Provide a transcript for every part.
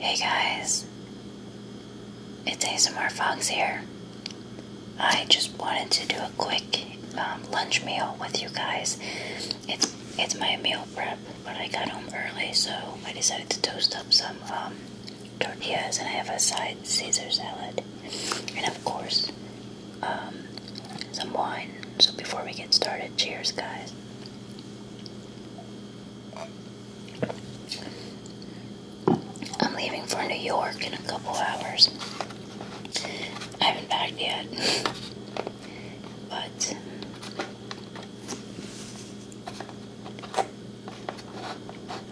Hey guys, it's ASMR Fox here. I just wanted to do a quick um, lunch meal with you guys. It's it's my meal prep, but I got home early, so I decided to toast up some um, tortillas, and I have a side Caesar salad, and of course um, some wine. So before we get started, cheers, guys. I'm leaving for New York in a couple hours. I haven't packed yet, but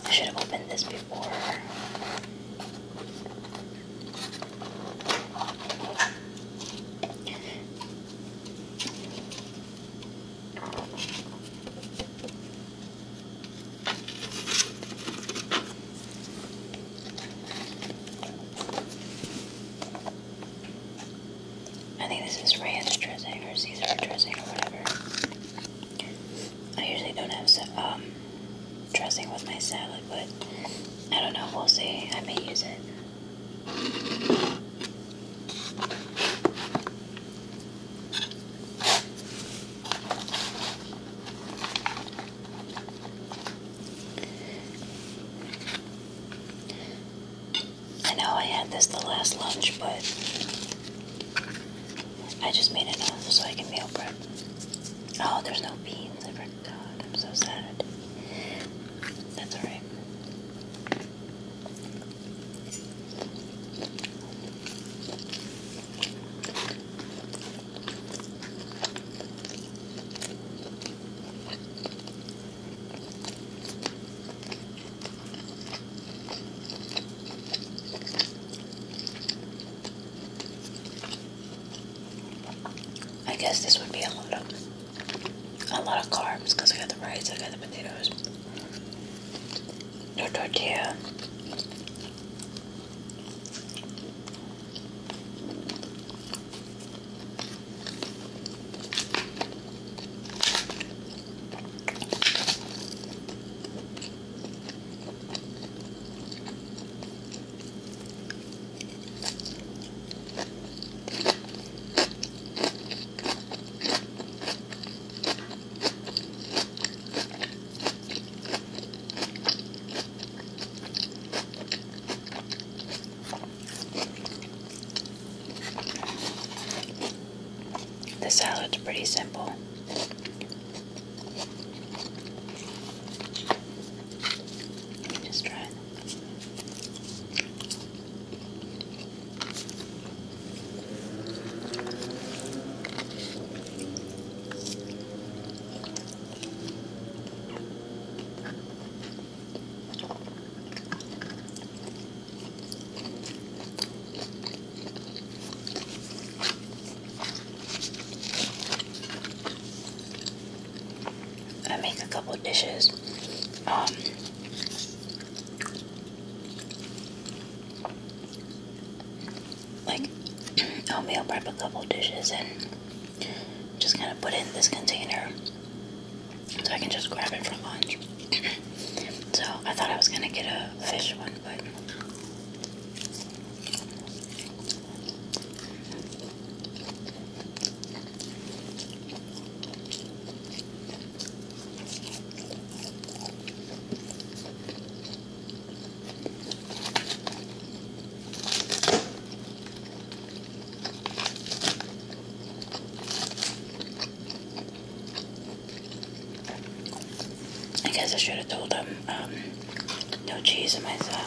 I should have opened this before. I think this is ranch dressing or Caesar dressing or whatever. I usually don't have um, dressing with my salad, but I don't know. We'll see. I may use it. I know I had this the last lunch, but I just made enough so I can meal prep. Oh, there's no beans. I forgot. am so sad. That's alright. I guess this would be a lot of a lot of carbs because I got the rice, I got the potatoes, the tortilla. The salad's pretty simple. just try it. I make a couple dishes. Um, like I'll I'll prep a couple dishes and just kind of put it in this container so I can just grab it for lunch. so I thought I was gonna get a fish one, but I guess I should have told him. Um, no cheese in my salad.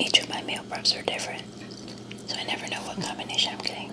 Each of my meal preps are different, so I never know what combination I'm getting.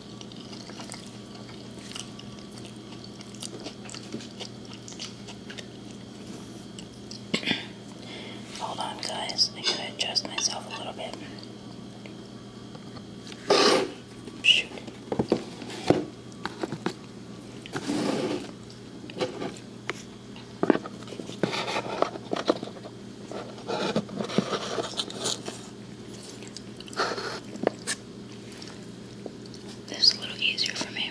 Hold on, guys. I gotta adjust myself a little bit. Shoot. This is a little easier for me.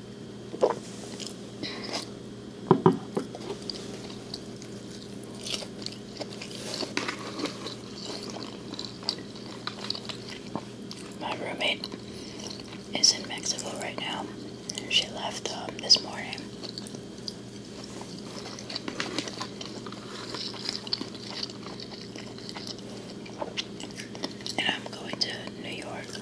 My roommate is in Mexico right now. She left um, this morning. And I'm going to New York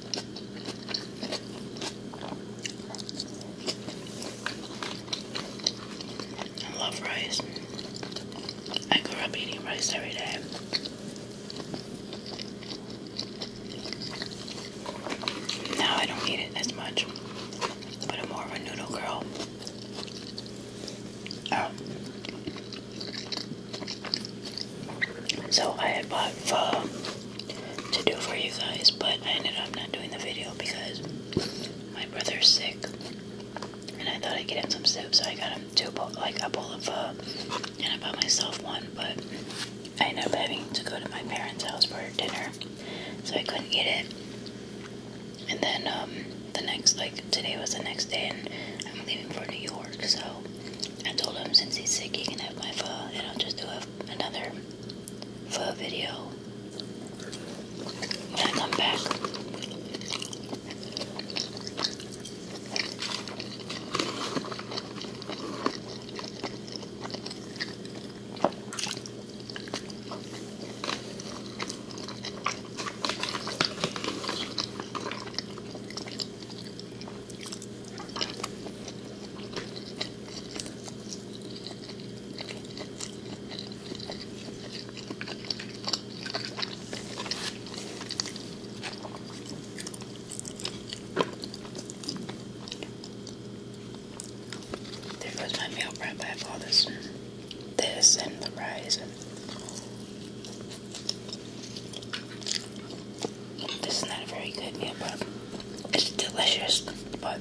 I love rice. I grew up eating rice every day. Now I don't eat it as much, but I'm more of a noodle girl. Oh. So I bought to do for you guys, but I ended up not doing the video because my brother's sick, and I thought I'd get him some soup, so I got him two, like a bowl of, uh, and I bought myself one, but I ended up having to go to my parents' house for dinner, so I couldn't eat it. And then um, the next, like today was the next day, and I'm leaving for New York, so I told him since he's sick, he can have my pho, and I'll just do a another foot video when I come back. There goes my meal prep. I have all this, this, and the rice. This is not a very good meal, but it's delicious. But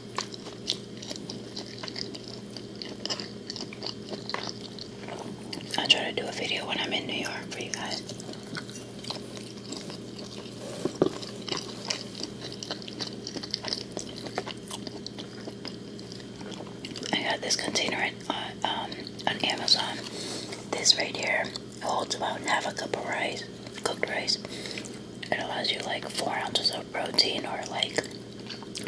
I'll try to do a video when I'm in New York for you guys. I got this container uh, um, on Amazon. This right here holds about half a cup of rice, cooked rice it allows you like four ounces of protein or like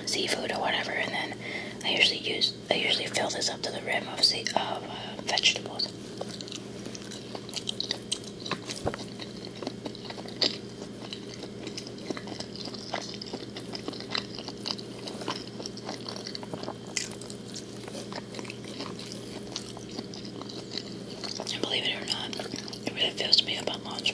seafood or whatever, and then I usually use I usually fill this up to the rim of sea, of uh, vegetables. And believe it or not, it really feels to me up on lunch.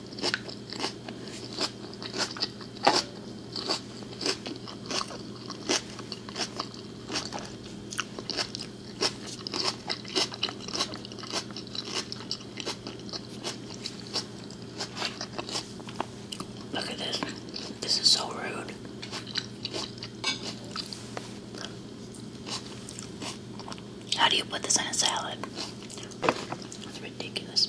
Look at this. This is so rude. How do you put this in a salad? ridiculous.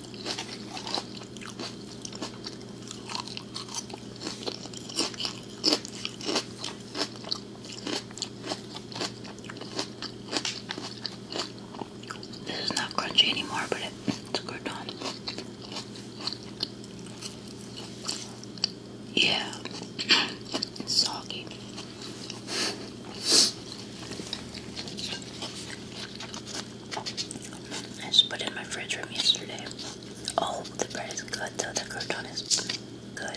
This is not crunchy anymore, but it's a crouton. Yeah, soggy. I just put it in my fridge from yesterday. Oh, the bread is good The crouton is good.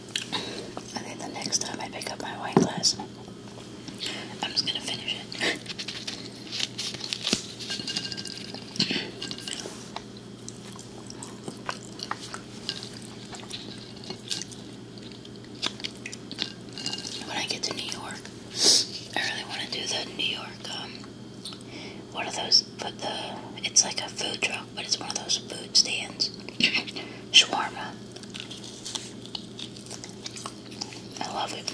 I think the next time I pick up my wine glass, I'm just gonna finish it. when I get to New York, I really want to do the New York, um, one of those, but the, it's like a food truck, but it's one of those food stands shawarma. I love it.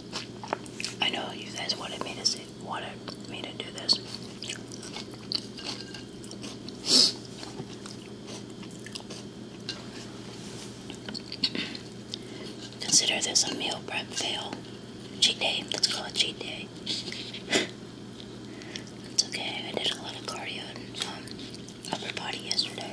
I know you guys wanted me to see, wanted me to do this. Consider this a meal prep fail. Cheat day. Let's call it cheat day. it's okay. I did a lot of cardio um, upper body yesterday.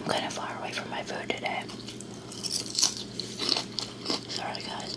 I'm kind of far away from my food today. Sorry, guys.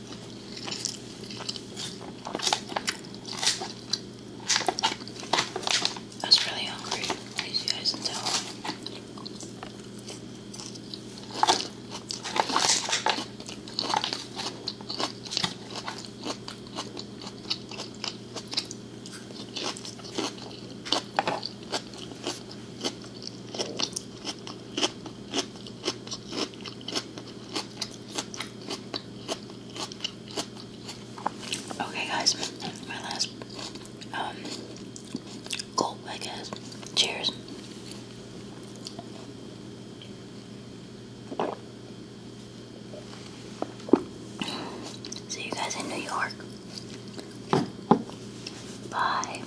I was really hungry, as you guys can tell. Okay, guys, my last um gulp, I guess. Cheers. See you guys in New York. Bye.